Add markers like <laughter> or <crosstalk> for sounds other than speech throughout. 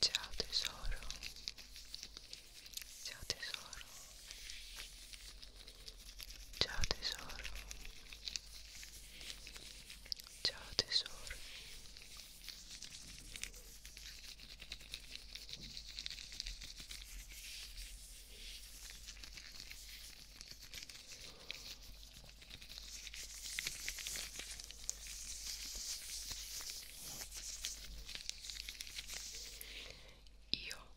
Ciao tesoro. Ciao tesoro. Ciao tesoro. Ciao tesoro. Io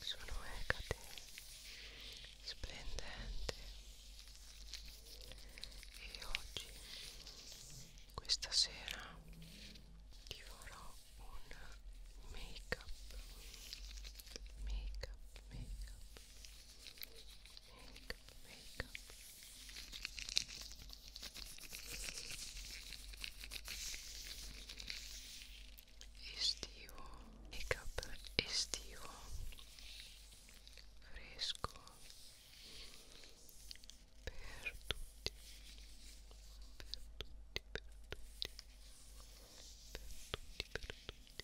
sono Ecate, splendente, e oggi, questa sera, ti farò un make up, make up, make up. Makeup, makeup. Estivo, makeup estivo, fresco per tutti, per tutti, per tutti, per tutti, per tutti.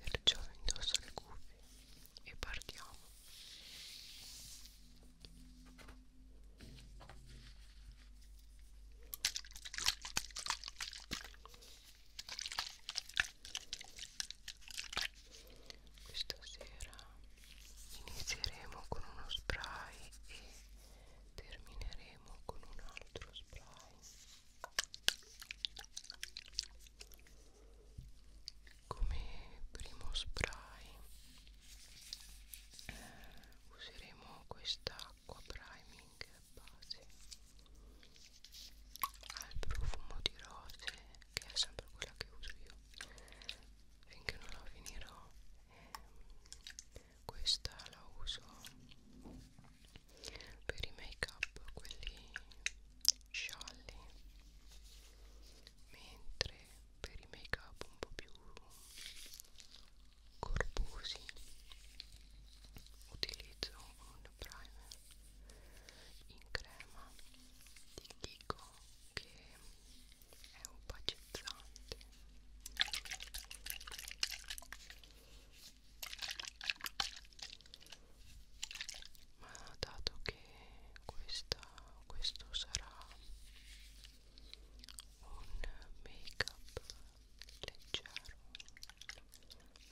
Perciò indosso le cuffie e partiamo. Io questa sera inizieremo con uno spray e termineremo con un altro spray come primo spray eh, useremo quest'acqua priming base ha il profumo di rose che è sempre quella che uso io finché non la finirò eh, questa la uso per i make up quelli scialli mentre per i make up un po' più corposi utilizzo un primer in crema di Kiko che è opacizzante ma dato che questa, questo sarà un make up leggero,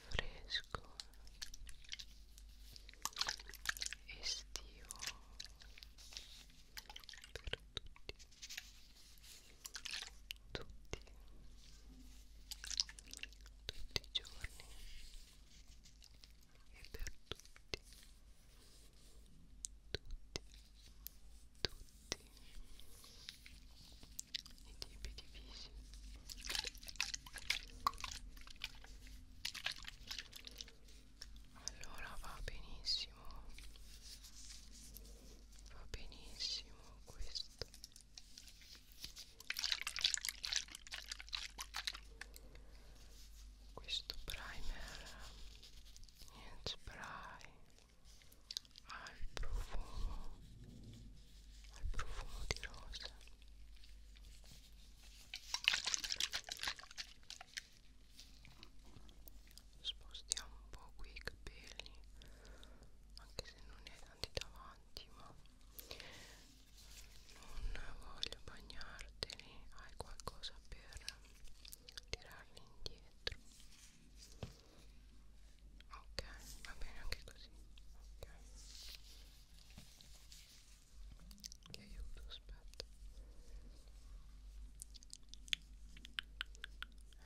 fresco, estivo per tutti, tutti, tutti i giorni e per tutti, tutti, tutti tutti i tipi di visi allora va benissimo va benissimo questo questo primer niente spray ha il profumo ha il profumo di rosa spostiamo un po' qui i capelli anche se non ne hai tanti davanti ma non voglio bagnarteli hai qualcosa per tirarli indietro ok va bene anche così ok ti aiuto aspetta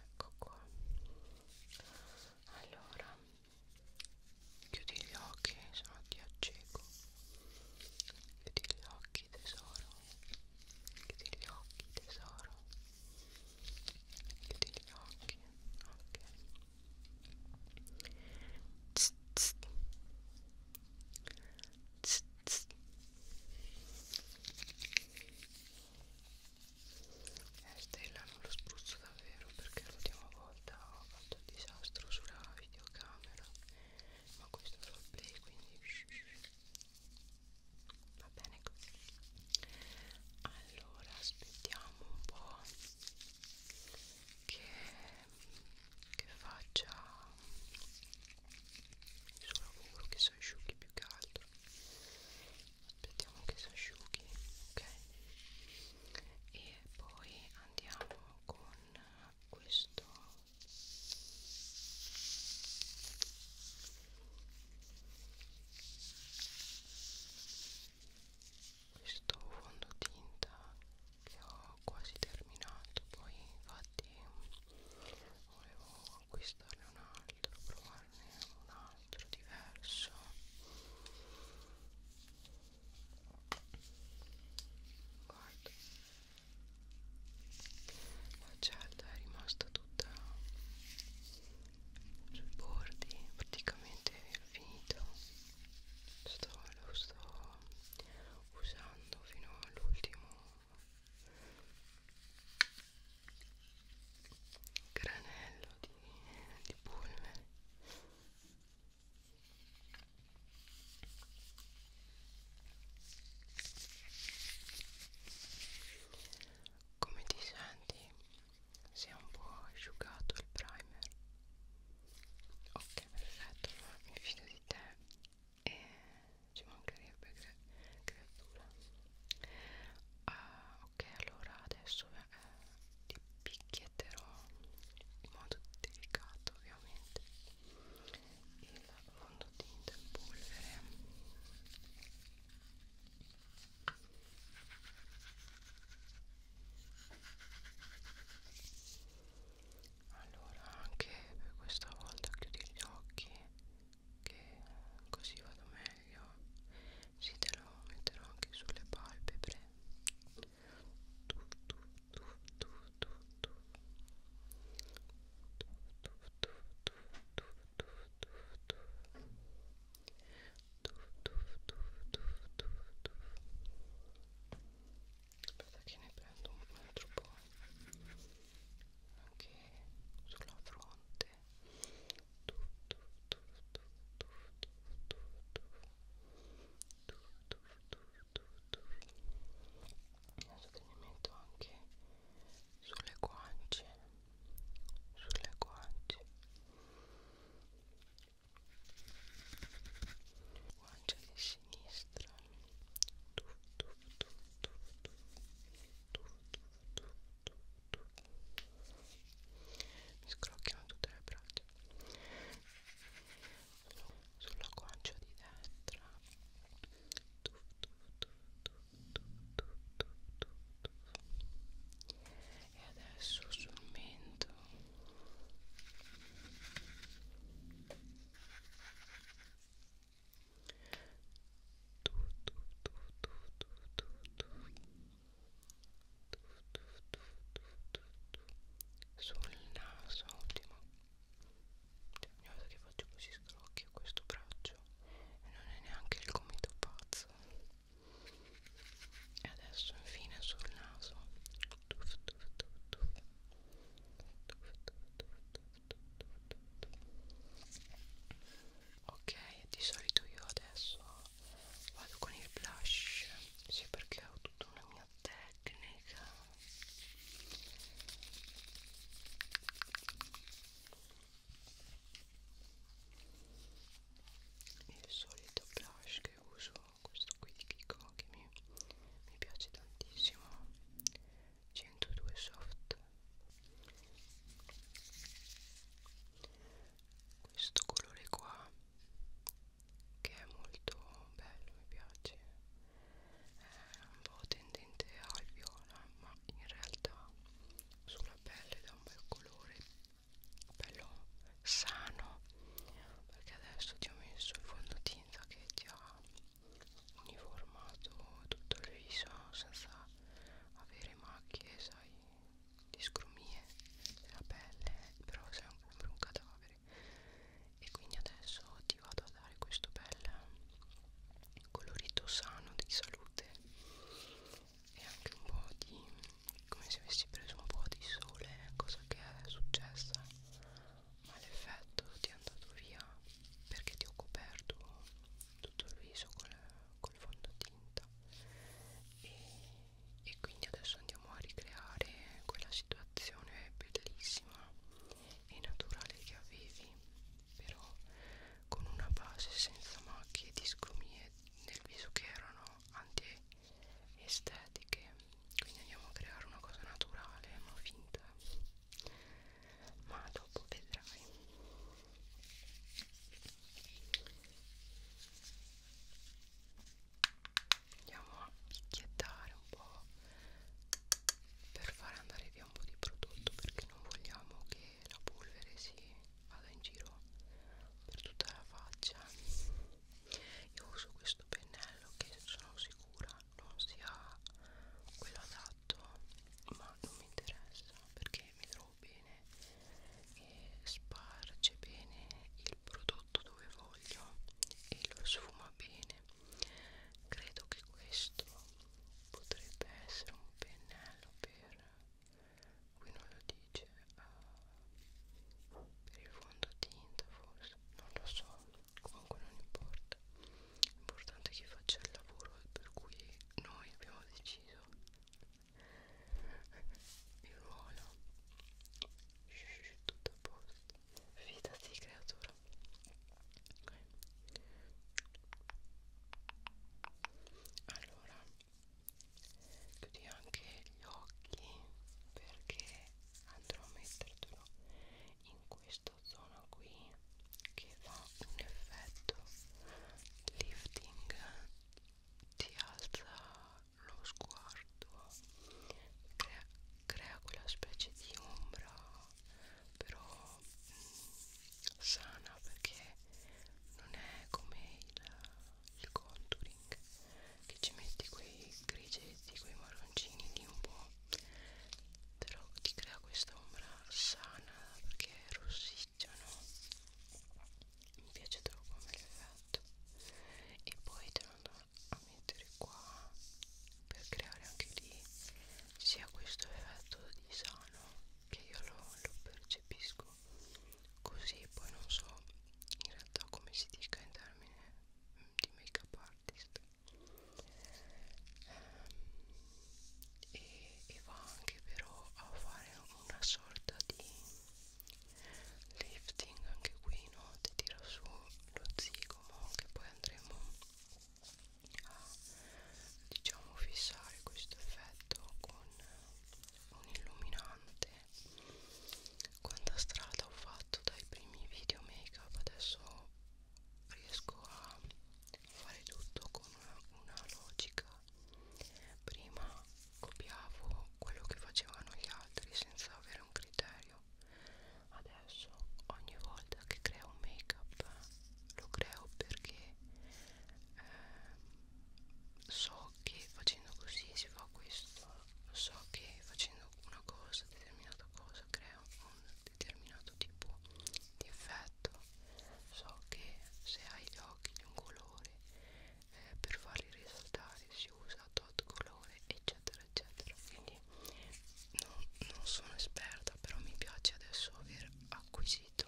ecco qua allora chiudi gli occhi se no ti acceco chiudi gli occhi tesoro chiudi gli occhi tesoro chiudi gli occhi ok tss, tss. Tss, tss. Eh, Stella non lo spruzzo davvero perché l'ultima volta ho fatto il disastro sulla videocamera ma questo è solo play quindi va bene così allora aspettiamo un po' che, che faccia il suo lavoro che si asciughi più che altro aspettiamo che si asciughi ok e poi andiamo con questo questo fondotinta che ho quasi terminato poi infatti volevo acquistarne un altro provarne un altro diverso guarda la cella è rimasta tutta sui bordi praticamente finito sto, lo sto usando fino all'ultimo granello di, di polvere come ti senti? si è un po' asciugato il primer ok perfetto allora mi fido di te e ci mancherebbe cre creatura uh, ok allora adesso eh, ti picchietterò in modo delicato ovviamente il fondotinta in polvere allora anche per questa volta chiudi gli occhi che così vado meglio si te lo metterò anche sulle palpebre tu, tu, tu, tu, tu, tu. Tu, tu, tu, tu, tu, tu, tu, tu aspetta che ne prendo un altro po' anche sulla fronte adesso te ne metto anche sulle guance sulle guance guancia di sinistra tuff, tuff, tuff, tuff, tuff, tuff, tuff, tuff, tuff. mi scrocchiano tutte le braccia sulla guancia di destra tuff, tuff, tuff, tuff, tuff, tuff, tuff, tuff e adesso sul mento tu tu tu tu tu tu tu tu tu tu tu tu sul naso ottimo cioè, ogni volta che faccio così scrocchio questo braccio e non è neanche il gomito pazzo e adesso infine sul naso tuff, tuff, tuff, tuff. Tuff, tuff, tuff, tuff, tuff, tuff. ok di solito io adesso vado con il blush sì perché ho tutta una mia tecnica il solito blush che uso questo qui di Kiko che mi, mi piace tantissimo 102 soft questo colore qua che è molto bello mi piace è un po' tendente al viola ma in realtà sulla pelle dà un bel colore bello sano perché adesso ti ho messo il fondotinta che ti ha uniformato tutto il viso senza avere macchie sai di scrumie della pelle però sei un, sempre un cadavere e quindi adesso ti vado a dare questo bel colorito sano di salute e anche un po' di come se avessi preso un po' di sole cosa che è successa ma l'effetto ti è andato via perché ti ho coperto tutto il viso col, col fondotinta e, e quindi adesso andiamo a ricreare quella situazione bellissima e naturale che avevi però con una base senza macchie di sgrumie nel viso che erano anti-estetiche quindi andiamo a creare una cosa naturale ma finta ma dopo vedrai andiamo a picchiettare un po' per far andare via un po' di prodotto perché non vogliamo che la polvere si vado in giro per tutta la faccia io uso questo pennello che sono sicura non sia quello adatto ma non mi interessa perché mi trovo bene e sparge bene il prodotto dove voglio e lo sfuma bene credo che questo potrebbe essere un pennello per qui non lo dice uh, per il fondotinta forse non lo so comunque non importa l'importante è che faccia il lavoro per cui noi abbiamo deciso il ruolo Shhh, tutto a posto fidati creatura okay. allora chiudi anche gli occhi perché andrò a mettertelo in questa zona qui che fa un effetto lifting ti alza lo sguardo crea, crea quella specie di ombra però mh, mm, sana perché non è come il il contouring che ci metti quei grigetti, quei marroncini di un po' però ti crea questa ombra sana perché è rossiccia no? mi piace troppo come l'effetto e poi te lo andrò a mettere qua per creare anche lì sia questo effetto di sano che io lo, lo percepisco così poi non so in realtà come si dica in termini mm, di make up artist ehm, e, e va anche però a fare una sorta di lifting anche qui no ti tira su lo zigomo che poi andremo a diciamo fissare questo effetto con un illuminante quanta strada ho fatto dai primi video make up adesso riesco a fare tutto con una, una logica prima copiavo quello che facevano gli altri senza avere un criterio adesso ogni volta che creo un make up lo creo perché eh, so che facendo così si fa questo so che facendo una cosa determinata cosa crea un determinato tipo di effetto so che se hai gli occhi di un colore eh, per farli risaltare si usa tot colore eccetera eccetera quindi non, non sono esperta però mi piace adesso aver acquisito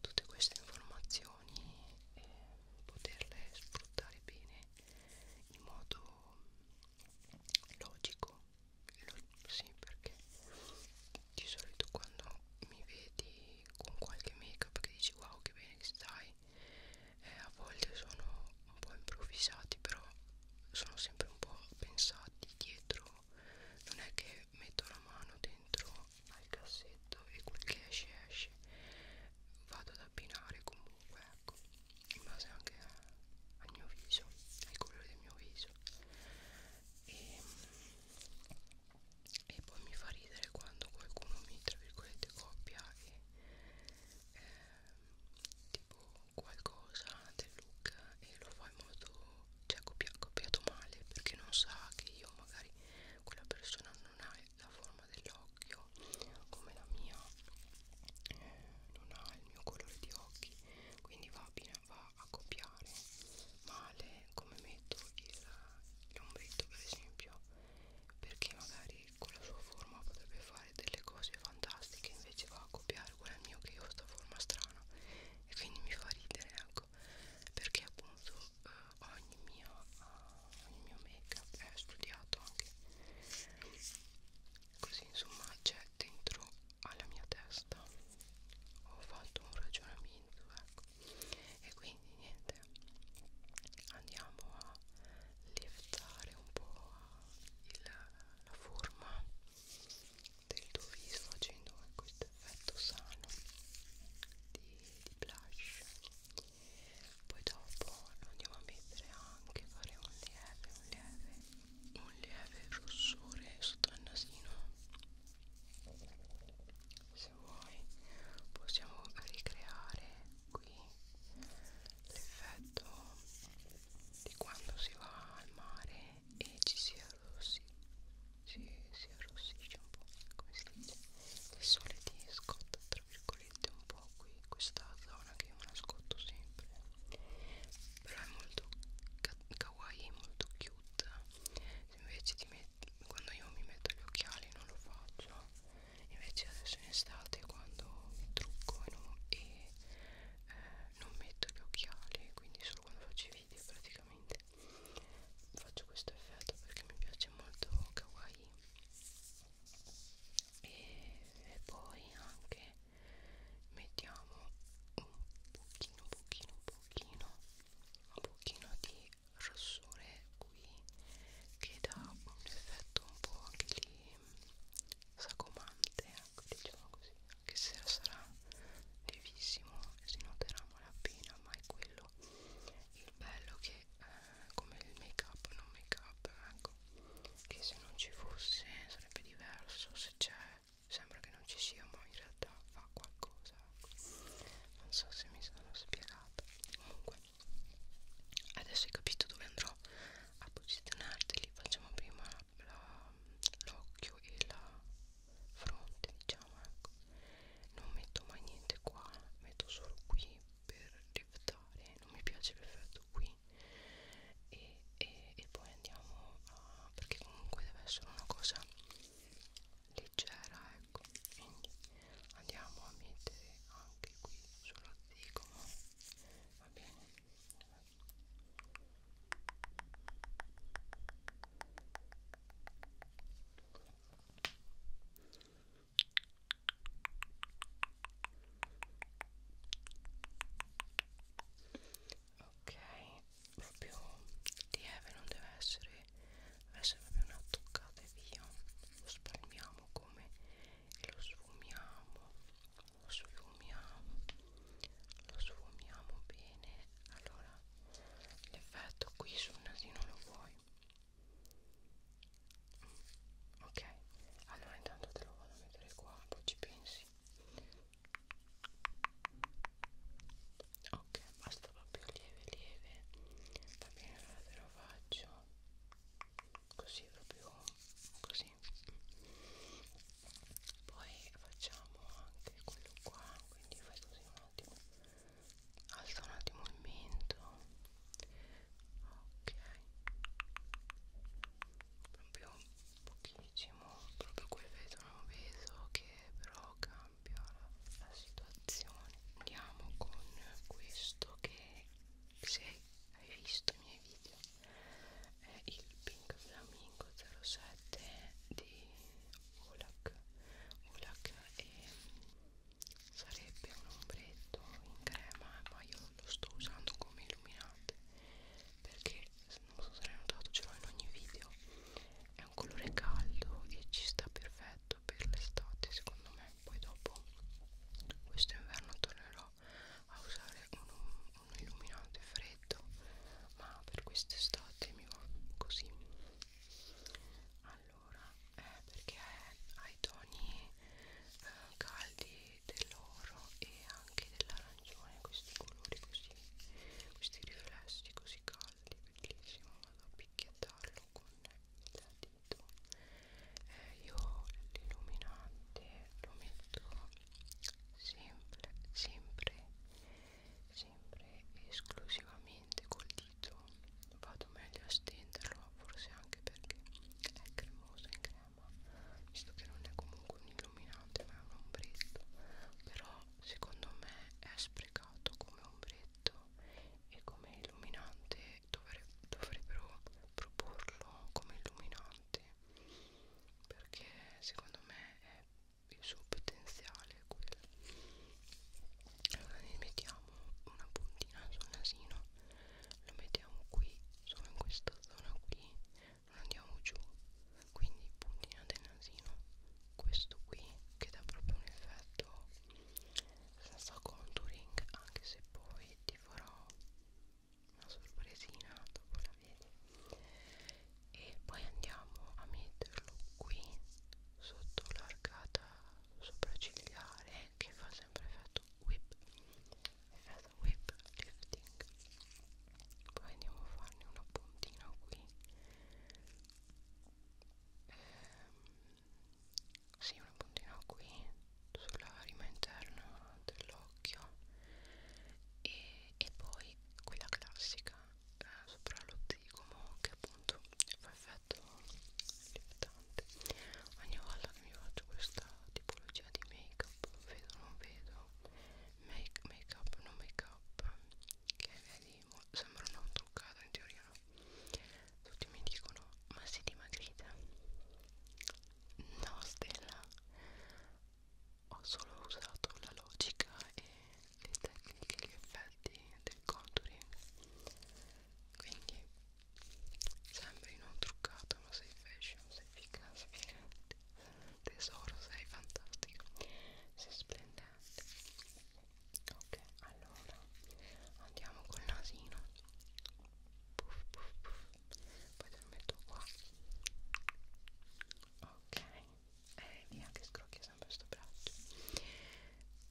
tutte queste informazioni e poterle sfruttare bene in modo logico sì perché di solito quando mi vedi con qualche make up che dici wow che bene che stai eh, a volte sono un po' improvvisati però sono sempre un po' pensati dietro non è che metto la mano dentro al cassetto e quel che esce esce vado ad abbinare comunque ecco in base anche al mio viso al colore del mio viso e, e poi mi fa ridere quando qualcuno mi tra virgolette copia e eh, tipo qualcosa del look e lo fa in modo cioè ha copiato male perché non sa che io magari quella persona non ha la forma dell'occhio come la mia eh, non ha il mio colore di occhi quindi va, va a copiare male come metto l'ombretto per esempio perché magari con la sua forma potrebbe fare delle cose fantastiche invece va a copiare quella mio che io ho sta forma strana e quindi mi fa ridere ecco perché appunto eh, ogni, mio, eh, ogni mio make up è eh, studiato anche così insomma c'è dentro alla mia testa ho fatto un ragionamento ecco e quindi niente andiamo a lievitare un po' il, la forma del tuo viso facendo questo ecco, effetto sano di, di blush poi dopo andiamo a mettere anche fare un lieve un lieve un lieve rossore sotto il nasino se vuoi possiamo ricreare qui l'effetto di quando si va al mare e ci si arrossisce si, si arrossisce un po' come si dice il sole ti scotta tra virgolette un po' qui questa zona che io me la scotto sempre però è molto ka kawaii è molto cute invece ti metti, quando io mi metto gli occhiali non lo faccio invece adesso in estate quando mi trucco e non, e, eh, non metto gli occhiali quindi solo quando faccio i video praticamente faccio questo effetto perché mi piace molto kawaii e, e poi anche mettiamo un pochino pochino pochino un pochino di rossore qui che dà un effetto un po' anche lì sacomante ecco diciamo così anche se sarà lievissimo si noterà malapena ma è quello il bello che eh, come il make up non make up ecco che se non ci fosse sarebbe diverso se c'è sembra che non ci sia ma in realtà fa qualcosa ecco. non so se mi sono spiegata comunque adesso hai capito dove andrò a posizionarti facciamo prima l'occhio e la fronte diciamo ecco non metto mai niente qua metto solo qui per liftare non mi piace l'effetto qui e, e, e poi andiamo a perché comunque deve essere una cosa leggera ecco quindi andiamo a mettere anche qui sullo zigomo va bene ok proprio lieve non deve essere deve essere proprio una toccata e via lo spalmiamo come lo sfumiamo lo sfumiamo lo sfumiamo bene allora l'effetto qui sul nasino lo vuoi ok allora intanto te lo vado a mettere qua poi ci pensi ok basta proprio lieve lieve va bene allora te lo faccio così proprio così poi facciamo anche quello qua quindi fai così un attimo alza un attimo il mento ok proprio pochissimo proprio quel vetro non peso che però cambia la, la situazione andiamo con questo che se hai visto i miei video è il pink flamingo 07 di Olak Olak è sarebbe un ombretto in crema ma io lo sto usando come illuminante perché non so se l'hai notato ce l'ho in ogni video è un colore caldo e ci sta perfetto per l'estate secondo me poi dopo questo inverno tornerò a usare un, un illuminante freddo ma per quest'estate mi va così allora allora è eh, perché è ai toni eh, caldi dell'oro e anche dell'arancione questi colori così questi riflessi così caldi bellissimo vado a picchiettarlo con il dito eh, io l'illuminante lo metto sempre sempre sempre esclusivamente col dito asciutto vado meglio a stenderlo forse anche perché è cremoso in crema visto che non è comunque un illuminante ma è un ombretto però secondo me è sprecato come ombretto e come illuminante dovre dovrebbero proporlo come illuminante perché secondo me è il suo potenziale è quello allora ne mettiamo una puntina sul nasino lo mettiamo qui solo in questa zona qui non andiamo giù quindi puntina del nasino questo qui che dà proprio un effetto senza contouring anche se poi ti farò una sorpresina dopo la vedi e poi andiamo a metterlo qui sotto l'arcata sopraccigliare che fa sempre fatto whip è fatto whip lifting poi andiamo a farne un appuntino qui ehm, sì un appuntino qui sulla rima interna dell'occhio e, e poi quella classica eh, sopra lo zigomo che appunto fa effetto limitante ogni volta che mi faccio questa tipologia di make up vedo non vedo make, make up non make up che vedi sembra non truccato in teoria no tutti mi dicono ma si dimagrita no stella ho solo usato la logica e le tecniche gli effetti del contouring quindi Sembri non truccato, ma sei fashion, sei figa, sei figante. Tesoro, sei fantastico. Sei splendente. Ok, allora andiamo col nasino. Puff, puff, puff. Poi te lo metto qua. Ok, e eh, via che scrocchia sempre sto braccio.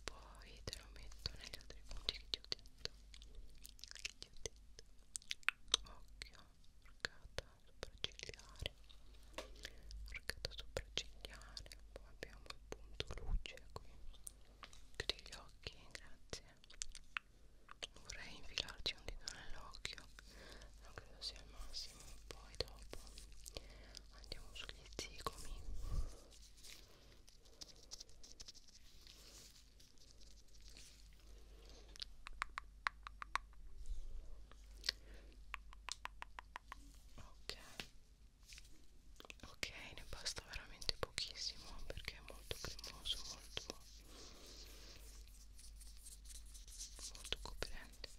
Poi te lo metto negli altri punti che ti ho detto detto che ti ho detto occhio arcata sopraccigliare arcata sopraccigliare poi abbiamo il punto luce qui chiudi gli occhi grazie non vorrei infilarci un dito nell'occhio non credo sia il massimo poi dopo andiamo sugli zigomi ok ok ne basta veramente pochissimo perché è molto cremoso molto molto coprente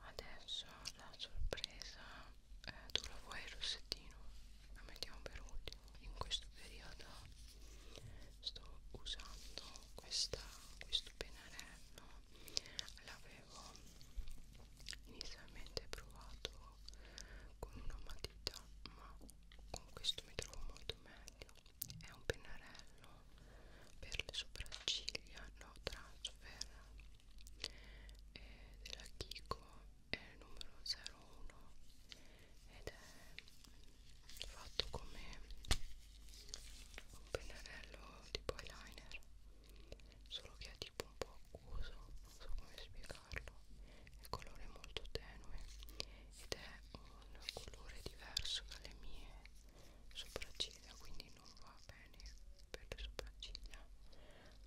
Adesso la sorpresa eh, tu la vuoi il rossettino? La mettiamo per ultimo. In questo periodo sto usando questa, questo pennarello. L'avevo inizialmente provato con una matita, ma questo mi trovo molto meglio è un pennarello per le sopracciglia no transfer è eh, della Kiko è il numero 01 ed è fatto come un pennarello tipo eyeliner solo che è tipo un po' acquoso non so come spiegare usarlo il colore è molto tenue ed è un colore diverso dalle mie sopracciglia quindi non va bene per le sopracciglia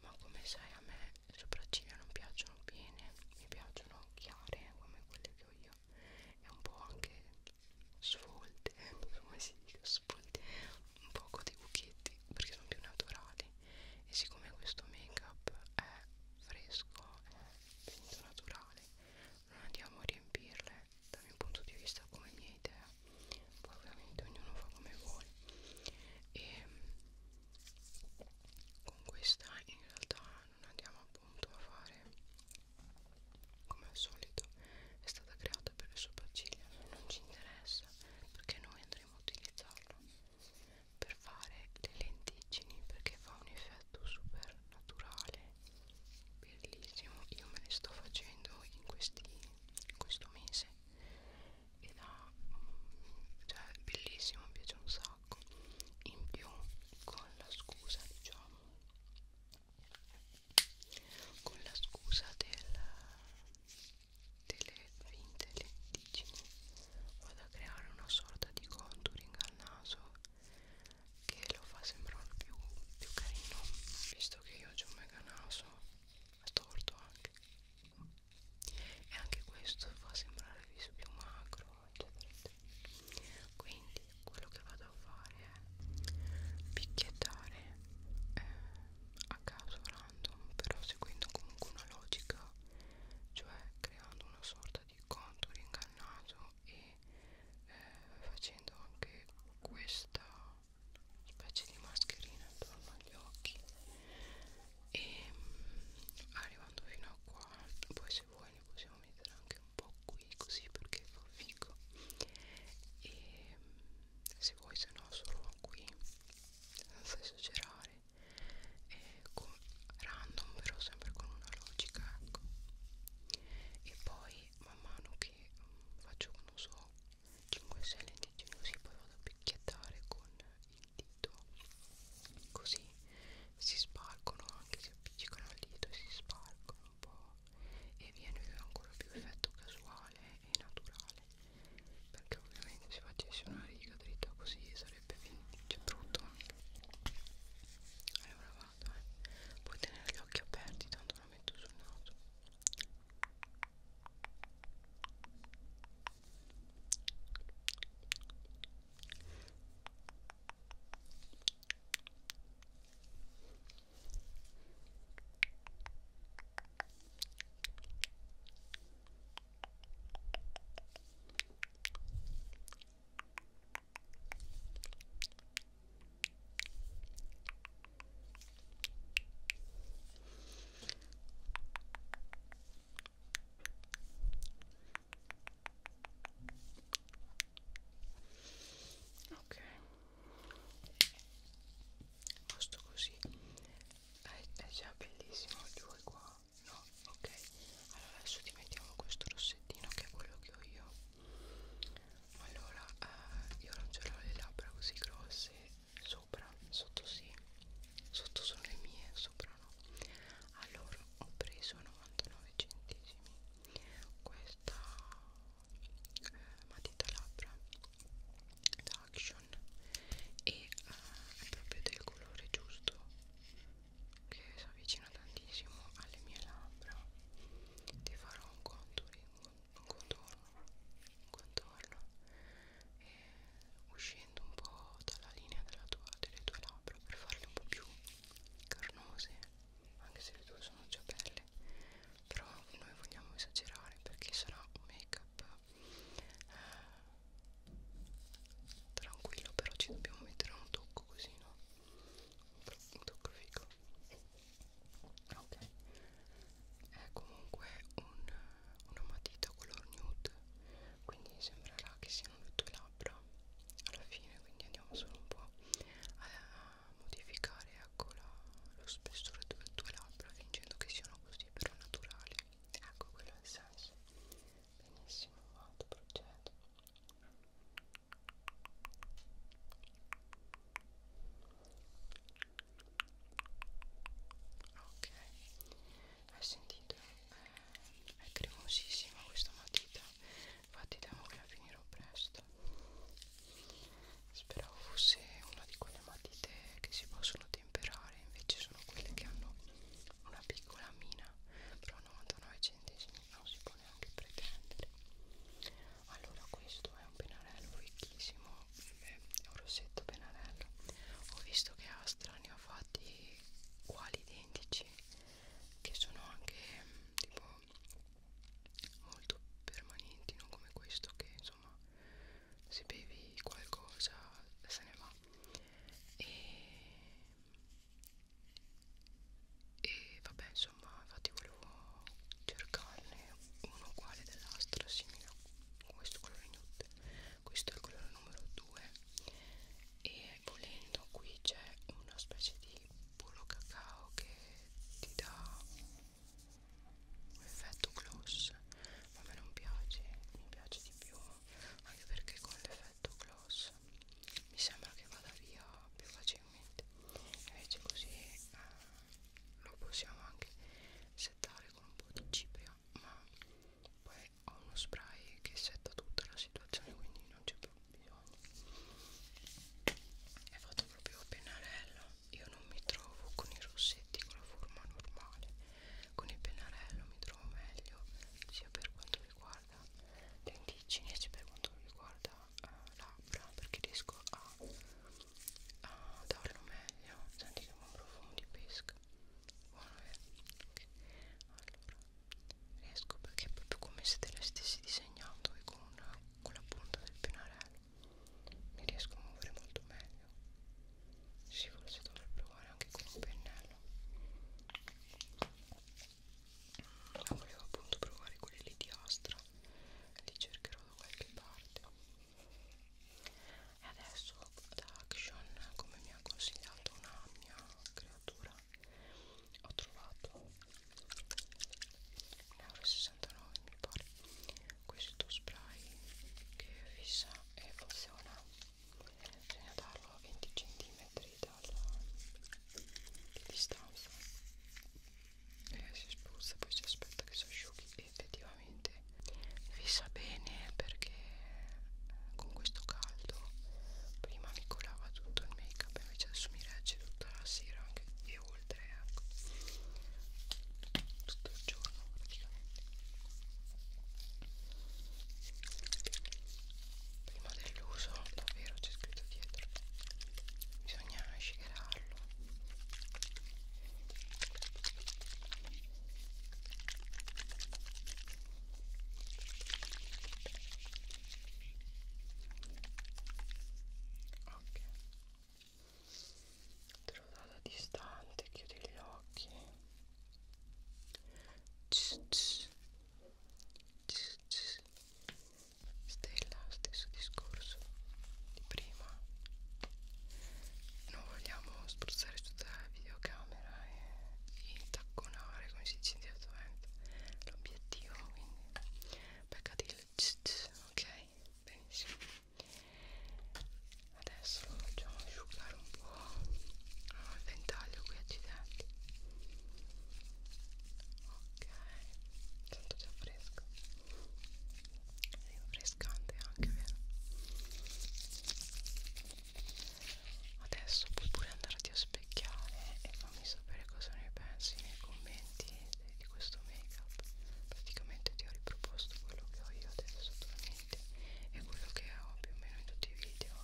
ma come sai a me le sopracciglia non piacciono bene mi piacciono chiare come quelle che ho io e un po' anche svolte <laughs> come si dice svolte un poco dei buchetti perché sono più naturali e siccome questo make up è fresco è finito naturale non andiamo a riempirle dal mio punto di vista come mia idea poi ovviamente ognuno fa come vuole e con questa in realtà non andiamo appunto a fare come al solito è stata creata per le sopracciglia non ci interessa perché noi andremo a utilizzarlo per fare le lentiggini perché fa un effetto super naturale bellissimo io me le sto facendo in, questi, in questo mese ed ha mm, cioè bellissimo mi piace un sacco in più con la scusa diciamo con la scusa del delle finte lentiggini vado a creare una sorta di contouring al naso che lo fa sembrare più, più carino visto che io ho un mega naso storto anche e anche questo fa sembrare il viso più macro eccetera eccetera quindi quello che vado a fare è picchiettare eh, a caso random però seguendo comunque una logica cioè creando una sorta di contour ingannato e eh, facendo anche questa specie di mascherina attorno agli occhi e mh, mm, arrivando fino a qua poi se vuoi ne possiamo mettere anche un po' qui così perché fa figo e mh, mm, se vuoi se no solo qui senza esagerare eh, con, random però sempre con una logica ecco e poi man mano che mh, mm, faccio non so 5-6 lentiggini così poi vado a picchiettare con il dito così si spargono anche si appiccicano al dito e si spargono un po' e viene ancora più effetto casuale e naturale perché ovviamente se facessi una riga dritta così sarebbe sarebbe che brutto allora vado eh. puoi tenere gli occhi aperti tanto lo metto sul naso ok posto così è, è già bellissimo il tuo qua no, ok allora adesso ti mettiamo questo rossettino che è quello che ho io allora eh, io non ce l'ho le labbra così grosse sopra, sotto sì sotto sono le mie, sopra no allora ho preso 99 centesimi questa eh, matita labbra da Action e eh, è proprio del colore giusto che si avvicina tantissimo alle mie labbra ti farò un contouring un contorno un contorno e uscendo un po' dalla linea della tua, delle tue labbra per farle un po' più carnose anche se le tue sono già belle però noi vogliamo esagerare perché sarà un make up eh, tranquillo però ci dobbiamo mettere un tocco così no un tocco figo ok è comunque un, una matita color nude quindi sembrerà che siano le tue labbra alla fine quindi andiamo solo un po' a modificare ecco la, lo spessore delle tue labbra fingendo che siano così però naturali ecco quello è il senso benissimo vado procedo ok hai sentito eh, è cremosissima questa matita infatti temo che la finirò presto speravo fosse una di quelle matite che si possono temperare invece sono quelle che hanno una piccola mina però 99 cm centesimi non si può neanche pretendere allora questo è un pennarello ricchissimo è un rossetto pennarello ho visto che Astra ne ha fatti quali identici che sono anche tipo molto permanenti non come questo che insomma se bevi qualcosa se ne va e e vabbè insomma infatti volevo cercarne uno uguale dell'astra simile a questo colore nude questo è il colore numero 2 e volendo qui c'è una specie di burro cacao che ti dà un effetto gloss ma a me non piace mi piace di più anche perché con l'effetto alto gloss mi sembra che vada via più facilmente invece così eh, lo possiamo anche settare con un po' di cipria ma poi ho uno spray che setta tutta la situazione quindi non c'è più bisogno è fatto proprio a pennarello io non mi trovo con i rossetti con la forma normale con il pennarello mi trovo meglio sia per quanto riguarda riguarda lenticini e sia per quanto riguarda uh, eh, labbra perché riesco a, a darlo meglio senti che un profumo di pesca buono vero? Eh? Okay. allora riesco perché è proprio come se te la stessi disegnando e con, una, con la punta del pennarello mi riesco a muovere molto meglio sì forse dovrei provare anche con un pennello volevo appunto provare quelle lì di Astra li cercherò da qualche parte e adesso da Action come mi ha consigliato una mia creatura ho trovato 1,69€ mi pare questo spray che fissa e funziona bisogna darlo a 20 cm dalla distanza e si spruzza poi si aspetta che si asciughi e effettivamente vi sa bene perché eh, con questo caldo prima mi colava tutto il make up invece adesso mi regge tutta la sera anche e oltre ecco tutto il giorno praticamente prima dell'uso davvero c'è scritto dietro bisogna asciugarlo ok trova da distante chiudi gli occhi Cs, cs. Stella, stesso discorso di prima. Non vogliamo spruzzare tutta la videocamera e intacconare, come si dice direttamente, l'obiettivo, quindi beccati il ok? Benissimo. Adesso lo facciamo asciugare un po' Oh, il ventaglio qui, accidenti. Ok, sento già fresco. È rinfrescante anche, vero? Adesso puoi pure andarti a specchiare e fammi sapere cosa ne pensi nei commenti di questo make up. Praticamente ti ho riproposto quello che ho io adesso attualmente e quello che ho più o meno in tutti i video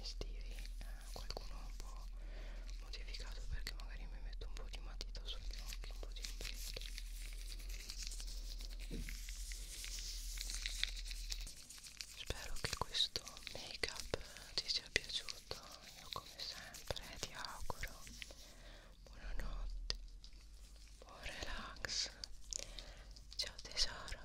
estivi eh, qualcuno un po' modificato perché magari mi metto un po' di matita sugli occhi, un po' di impietto spero che questo make up ti sia piaciuto io come sempre ti auguro buonanotte buon relax ciao tesoro